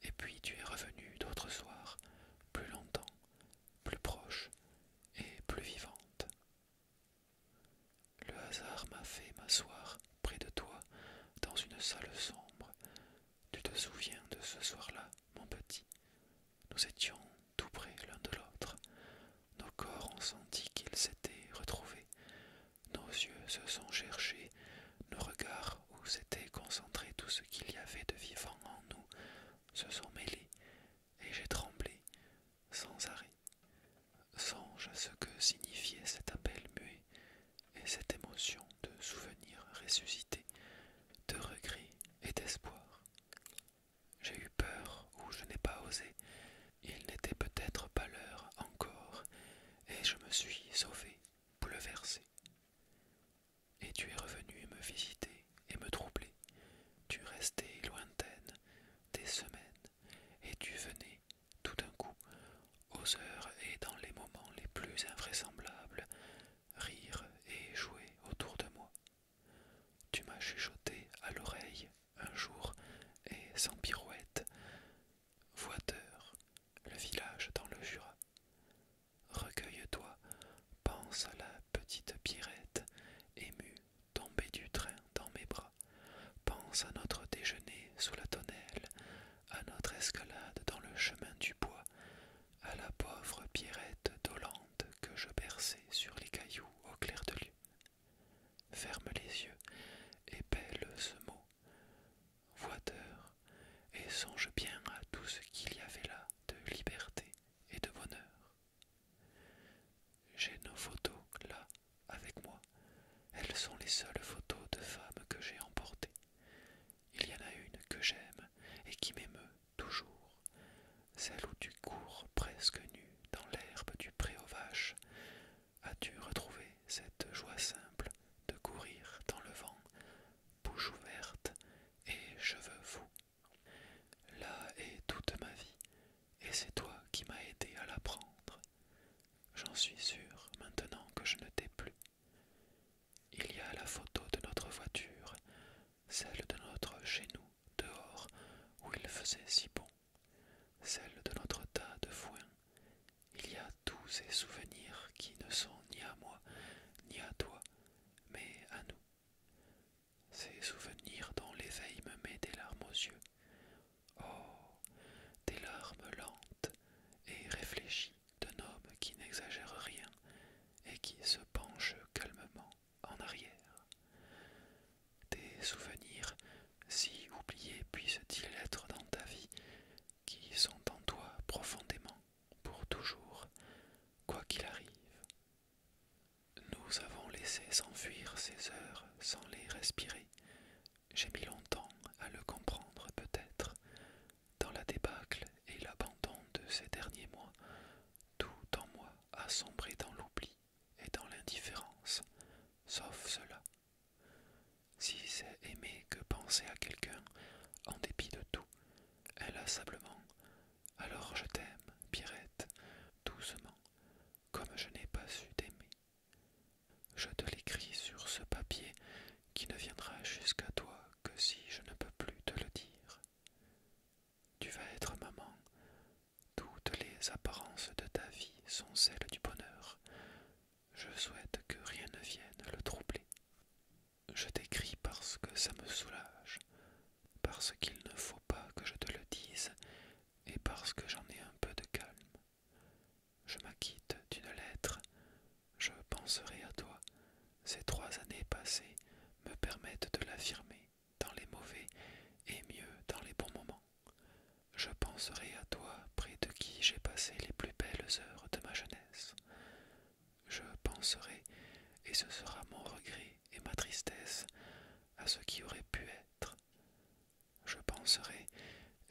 Et puis tu es revenu d'autres soirs, plus longtemps, plus proche et plus vivante. Le hasard m'a fait m'asseoir près de toi, dans une salle sombre. Tu te souviens de ce soir-là, mon petit, nous étions tout près l'un de l'autre. Nos corps ont senti qu'ils s'étaient retrouvés. Nos yeux se sont cherchés, nos regards où s'était concentré tout ce qu'il y avait de vivant en nous se sont mêlés, et j'ai tremblé sans arrêt. Songe à ce que signifiait cet appel muet et cette émotion de souvenir ressuscité, de regret et d'espoir. J'ai eu peur ou je n'ai pas osé. Il n'était peut-être pas l'heure encore, et je me suis sauvé, bouleversé. Et tu es revenu me visiter et me troubler. Tu restais lointaine des semaines, et tu venais tout d'un coup, aux heures et dans les moments les plus invraisemblables, rire et jouer autour de moi. Tu m'as chuchoté à l'oreille un jour, et sans pirouette, Voiteur, le village dans le Jura. Recueille-toi, pense à la petite Pierrette, émue, tombée du train dans mes bras. Pense à notre déjeuner sous la tonnelle, à notre escalade dans le chemin du bois, à la pauvre Pierrette que je berçais sur les cailloux au clair de lune. Ferme les yeux et pèle ce mot, voiteur, et songe bien à tout ce qu'il y avait là de liberté et de bonheur. J'ai nos photos là avec moi. Elles sont les seules photos de femmes que j'ai emportées. Il y en a une que j'aime et qui m'émeut toujours, celle où tu cours presque nu dans l'herbe du pré aux vaches. As-tu retrouvé cette joie simple de courir dans le vent, bouche ouverte et cheveux fous Là est toute ma vie, et c'est toi qui m'as aidé à l'apprendre. J'en suis sûr maintenant que je ne t'ai plus. Il y a la photo de notre voiture, celle de notre chez nous, dehors où il faisait si bon, celle de notre tas de foin. Il y a tous ces souvenirs qui ne sont ni à moi, ni à toi, mais à nous. Ces souvenirs dont l'éveil me met des larmes aux yeux. Oh, des larmes lentes et réfléchies d'un homme qui n'exagère rien et qui se penche calmement en arrière. Des souvenirs, si oubliés puissent-ils être dans ta vie, qui sont en toi profondément, pour toujours, quoi qu'il arrive. Nous avons laissé s'enfuir ces heures sans les respirer. J'ai mis longtemps à le comprendre peut-être. Dans la débâcle et l'abandon de ces derniers mois, tout en moi a sombré dans l'oubli et dans l'indifférence, sauf cela. Si c'est aimer que penser à quelqu'un en dépit de tout, inlassablement, alors je t'aime, Pierrette, doucement, comme je n'ai pas su t'aimer. Je te l'écris sur ce papier qui ne viendra jusqu'à toi que si je ne peux plus te le dire. Tu vas être maman, toutes les apparences de ta vie sont celles du bonheur. Je souhaite que rien ne vienne le troubler. Je t'écris parce que ça me soulage, parce qu'il ne faut pas que je te le dise, et parce que j'en ai un peu de calme. Je m'acquitte d'une lettre, je penserai à toi. Ces trois années passées me permettent de l'affirmer dans les mauvais et mieux dans les bons moments. Je penserai à toi près de qui j'ai passé les plus belles heures de ma jeunesse. Je penserai, et ce sera mon regret et ma tristesse, à ce qui aurait pu être. Je penserai,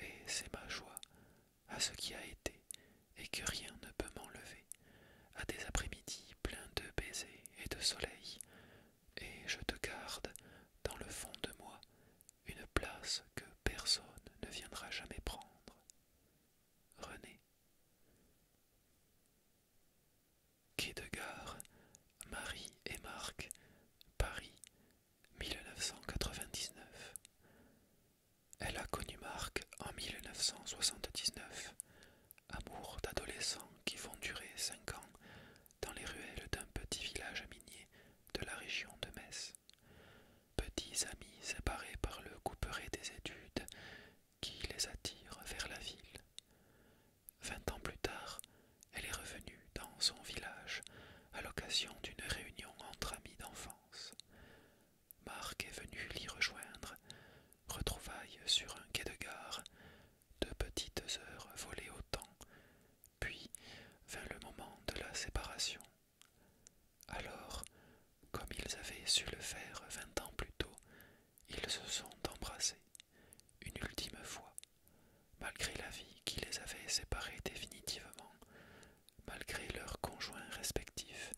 et c'est ma joie, à ce qui a été, et que rien ne peut m'enlever, à des après-midi pleins de baisers et de soleil, et je te garde dans le fond de moi une place que personne ne viendra jamais prendre. René. Quai de Gare, Marie et Marc, Paris, 1999. Elle a connu Marc en 1979 amour d'adolescents qui vont durer cinq ans dans les ruelles d'un petit village minier de la région de Metz. Petits amis séparés par le couperet des études qui les attire vers la ville. Vingt ans plus tard, elle est revenue dans son village à l'occasion d'une réunion entre amis d'enfance. Marc est venu l'y rejoindre, retrouvailles sur un quai de gare, de petites heures volaient au temps, puis vint le moment de la séparation. Alors, comme ils avaient su le faire vingt ans plus tôt, ils se sont embrassés, une ultime fois, malgré la vie qui les avait séparés définitivement, malgré leurs conjoints respectifs,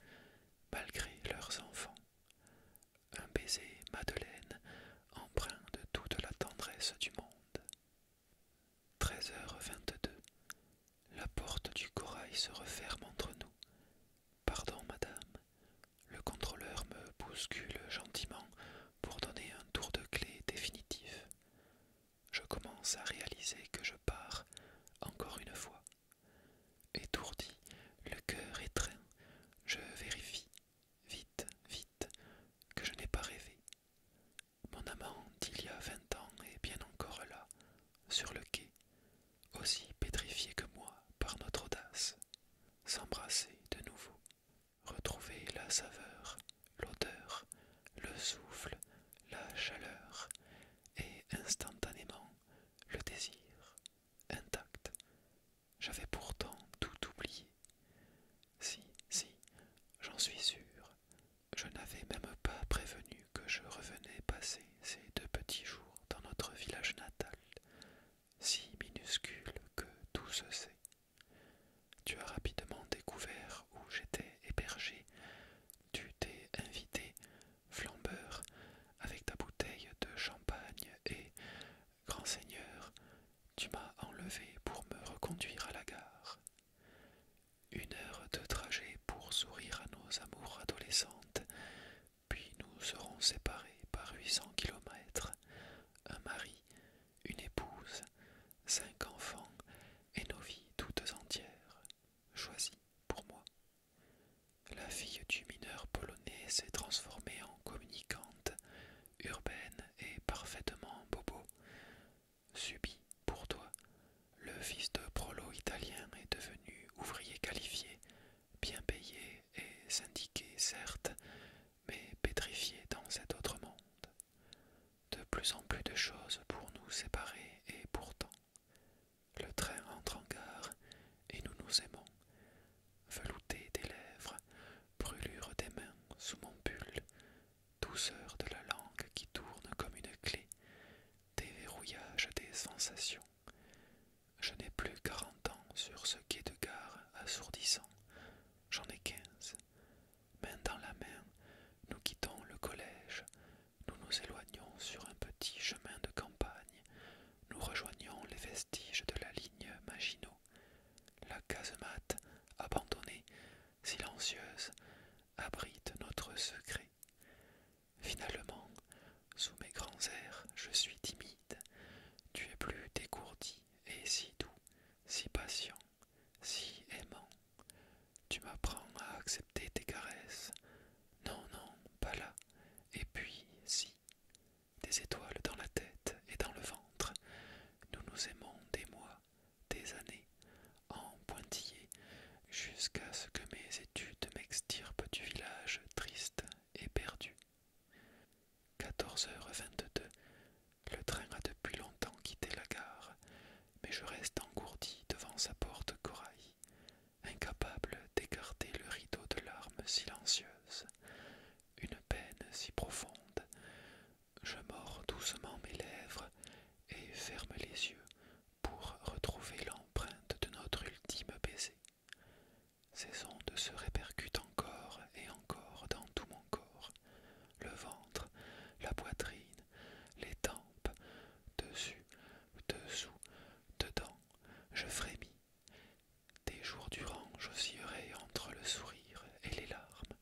malgré leurs enfants, un baiser Madeleine empreint de toute la tendresse du monde. 13h22. La porte du corail se referme entre nous. Pardon, madame. Le contrôleur me bouscule gentiment pour donner un tour de clé définitif. Je commence à réaliser que je pars encore une fois. Étourdi, le cœur étreint, je vérifie vite, vite, que je n'ai pas rêvé. Mon amant d'il y a vingt ans est bien encore là, sur le quai, aussi pétrifié que moi par notre audace. S'embrasser de nouveau, retrouver la saveur, l'odeur, le souffle, la chaleur, et instantanément le désir, intact, j'avais pourtant tout oublié. Si, si, j'en suis sûr. Je n'avais même pas prévenu que je revenais passer ces deux petits jours dans notre village natal, si minuscule que tout se sait. Tu as rapidement découvert où j'étais hébergé. Tu t'es invité, flambeur, avec ta bouteille de champagne et Grand Seigneur, tu m'as enlevé pour me reconduire à la gare. Une heure de trajet pour sourire à nos amours adolescentes, puis nous serons séparés par huit cents kilomètres, un mari, une épouse, cinq enfants et nos vies toutes entières, choisies pour moi. La fille du mineur polonais s'est transformée en communicante, urbaine et parfaitement bobo, Subi, pour toi. Le fils de prolo italien est devenu ouvrier qualifié, bien payé et syndiqué certes, mais pétrifié dans cet autre monde. De plus en plus de choses pour nous séparer et pourtant. Le train entre en gare et nous nous aimons velouté des lèvres, brûlure des mains sous mon pull, douceur de la langue qui tourne comme une clé, déverrouillage des sensations. Je n'ai plus quarante ans sur ce quai de gare assourdissant, j'en ai quinze. Main dans la main, nous quittons le collège, nous nous éloignons sur un petit chemin de campagne, nous rejoignons les vestiges de la ligne Maginot. La casemate, abandonnée, silencieuse, abrite notre secret. Finalement, sous mes grands airs, je suis timide. Tu es plus dégourdi et si doux, si patient, si aimant. Tu m'apprends à accepter tes caresses. Non, non, pas là. Et puis, si, des étoiles dans la tête et dans le ventre, nous nous aimons des mois, des années, en pointillés, jusqu'à ce que mes études m'extirpent du village triste et perdu. 14h22. Le train a depuis longtemps quitté la gare, mais je reste engourdi devant sa porte corail, incapable d'écarter le rideau de larmes silencieuses une peine si profonde. Je mords doucement mes lèvres et ferme les yeux pour retrouver l'empreinte de notre ultime baiser. Ces ondes se répercutent encore et encore dans tout mon corps, le ventre, la poitrine, les tempes, dessus, dessous, dedans, je frémis. Des jours durant j'oscillerai entre le sourire et les larmes,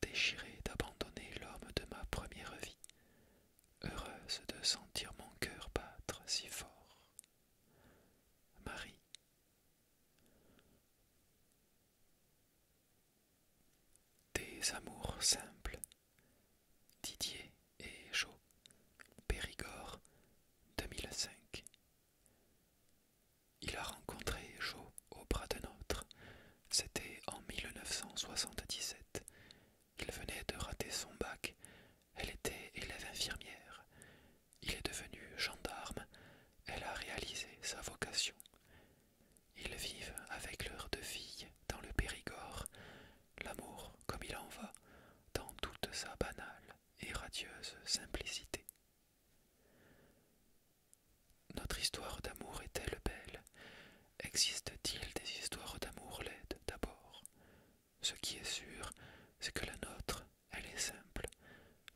déchirée d'abandonner l'homme de ma première vie, heureuse de sentir mon cœur battre si fort. Marie. Des amours simples. Didier et Jo. Périgord 2005. Il a rencontré jo au bras de autre. C'était en 1977. Il venait de rater son bac. Elle était élève infirmière. Il est devenu gendarme. Elle a réalisé sa vocation. Ils vivent avec leurs deux filles dans le Périgord, l'amour comme il en va, dans toute sa banale et radieuse simplicité. Notre histoire d'amour est-elle belle Existe-t-il des histoires d'amour laides d'abord Ce qui est sûr, c'est que la nôtre, elle est simple,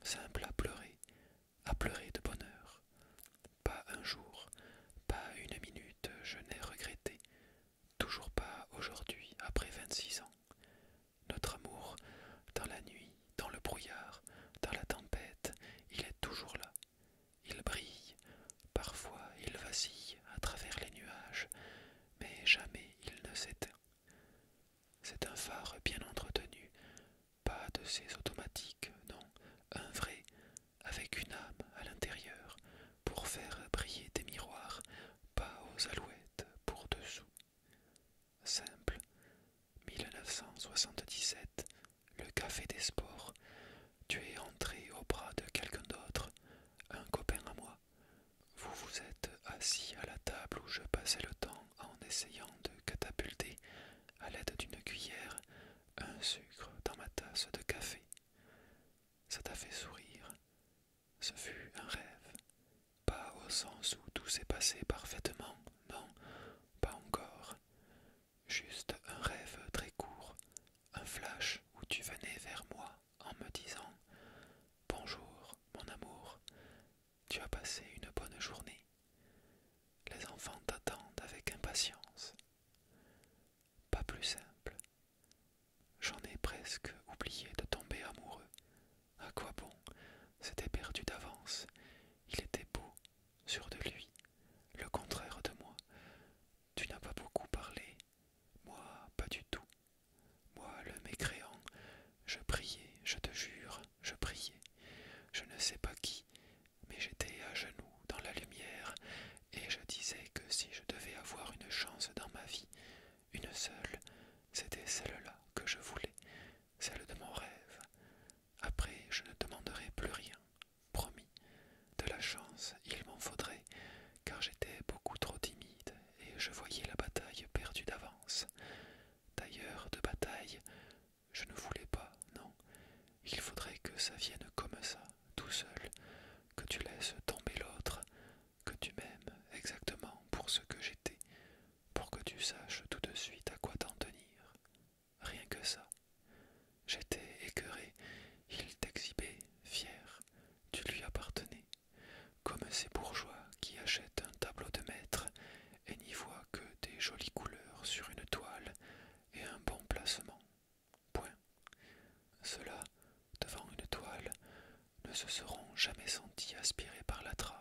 simple à pleurer, à pleurer de bonheur. Pas un jour, pas une minute, je n'ai regretté, toujours pas aujourd'hui, après vingt-six ans notre amour, dans la nuit, dans le brouillard, dans la tempête, il est toujours là. Il brille, parfois il vacille à travers les nuages, mais jamais il ne s'éteint. C'est un phare bien entretenu, pas de ces automatiques, non, un vrai, avec une âme à l'intérieur, pour faire briller des miroirs, pas aux alouettes pour dessous. Simple. 1977, le Café des Sports. Tu es entré au bras de quelqu'un d'autre, un copain à moi. Vous vous êtes assis à la table où je passais le temps en essayant de catapulter, à l'aide d'une cuillère, un sucre dans ma tasse de café. Ça t'a fait sourire. Ce fut un rêve. Pas au sens où tout s'est passé parfaitement, non, pas encore. Juste un rêve très court, un flash où tu venais vers moi en me disant Bonjour, mon amour, tu as passé une bonne journée. Les enfants t'attendent avec impatience. Pas plus simple. J'en ai presque oublié de tomber amoureux, à quoi bon C'était perdu d'avance. Il était beau, sûr de lui, le contraire de moi. Tu n'as pas beaucoup parlé, moi pas du tout. Moi le mécréant, je priais, je te jure, je priais. Je ne sais pas qui, mais j'étais à genoux dans la lumière, et je disais que si je devais avoir une chance dans ma vie, une seule, c'était celle-là que je voulais, celle de mon rêve, après, je ne demanderai plus rien, promis. De la chance, il m'en faudrait, car j'étais beaucoup trop timide et je voyais la bataille perdue d'avance. D'ailleurs, de bataille, je ne voulais pas, non. Il faudrait que ça vienne comme ça, tout seul, que tu laisses tomber l'autre, que tu m'aimes exactement pour ce que j'étais, pour que tu saches tout de suite à quoi t'en tenir. Rien que ça. J'étais écœuré, il t'exhibait, fier, tu lui appartenais, comme ces bourgeois qui achètent un tableau de maître et n'y voient que des jolies couleurs sur une toile et un bon placement. Point. Cela, devant une toile, ne se seront jamais sentis aspirés par la trame,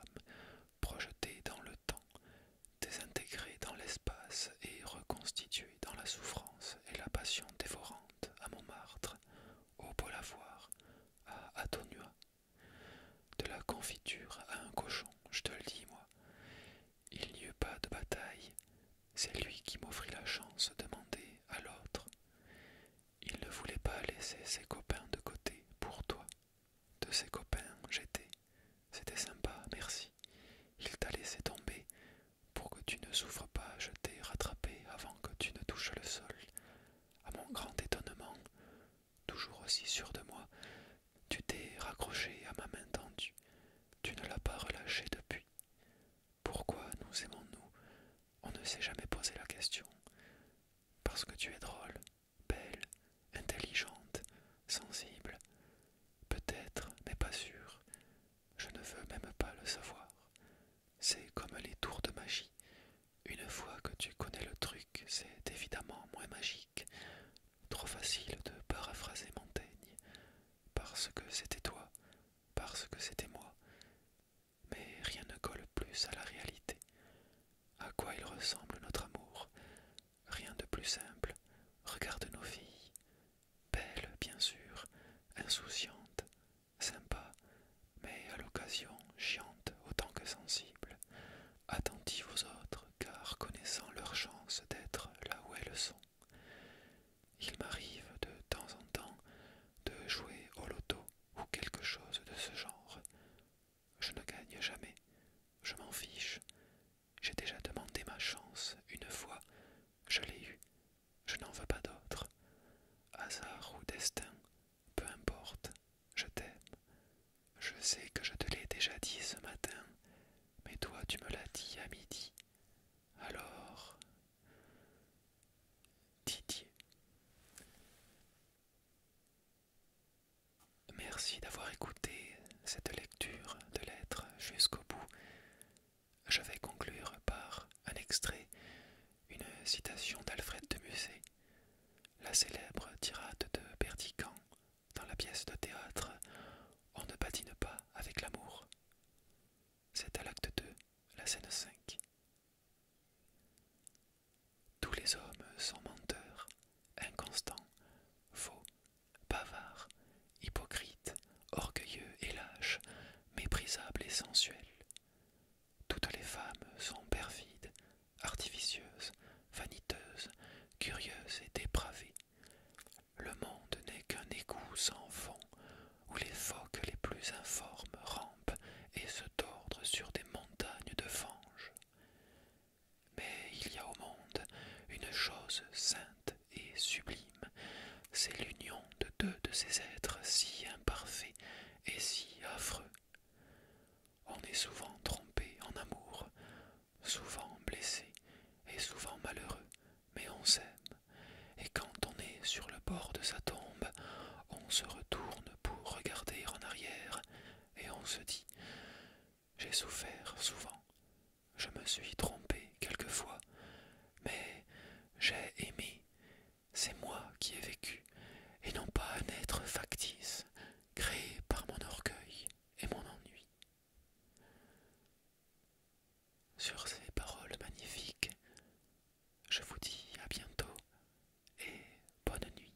projetés dans le temps, désintégré dans l'espace et reconstitué dans la souffrance et la passion dévorante à Montmartre, au Polavoir, à Atonua. De la confiture à un cochon, je te le dis, moi. Il n'y eut pas de bataille, c'est lui qui m'offrit la chance de demander à l'autre. Il ne voulait pas laisser ses copains de côté pour toi, de ses copains, j'étais. C'était sympa, merci. Il t'a laissé tomber pour que tu ne souffres pas. Je t'ai rattrapé avant que tu ne touches le sol. À mon grand étonnement, toujours aussi sûr de moi, tu t'es raccroché à ma main tendue. Tu ne l'as pas relâché depuis. Pourquoi nous aimons-nous On ne s'est jamais posé la question. Parce que tu es drôle, belle, intelligente, sensible. Peut-être, mais pas sûre. Je ne veux même pas le savoir. C'est comme les tours de magie. Une fois que tu connais le truc, c'est évidemment moins magique. Trop facile de paraphraser Montaigne. Parce que c'était toi, parce que c'était moi. Mais rien ne colle plus à la réalité. À quoi il ressemble notre amour Rien de plus simple. Regarde nos filles. Belles, bien sûr, insouciantes, sympas, mais à l'occasion chiantes autant que sensibles, attentives aux autres car connaissant leur chance d'être là où elles sont. Il m'arrive de temps en temps de jouer au loto ou quelque chose de ce genre. Je ne gagne jamais. Je m'en fiche. J'ai déjà demandé ma chance une fois. Je l'ai eue. Je n'en veux pas d'autre. Hasard ou destin, peu importe. Je t'aime. Je sais que je te l'ai déjà dit ce matin, mais toi tu me l'as dit à midi. Alors... Didier. Merci d'avoir écouté cette lecture de lettres jusqu'au bout. Je vais conclure par un extrait, une citation d'Alfred de Musset, la célèbre tirade de Berdican dans la pièce de théâtre On ne patine pas avec l'amour. C'est à l'acte 2, la scène 5. Tous les hommes sont menteurs, inconstants, faux, bavards, hypocrites, orgueilleux et lâches, méprisables et sensuels. Toutes les femmes sont perfides, artificieuses, vaniteuses, curieuses et dépravées. Le monde n'est qu'un égout sans fond, où les phoques les plus informes rampent et se tordent sur des montagnes de fange. Mais il y a au monde une chose sainte et sublime, c'est l'union de deux de ces êtres si imparfaits et si affreux. On est souvent trompé en amour, souvent blessé et souvent malheureux, mais on s'aime, et quand on est sur le bord de sa tombe, on se retourne pour regarder en arrière, et on se dit j'ai souffert souvent. Je me suis trompé quelquefois. Mais j'ai aimé. C'est moi qui ai vécu, et non pas un être factice, créé par mon orgueil et mon ennui. Sur ces paroles magnifiques, je vous dis à bientôt et bonne nuit.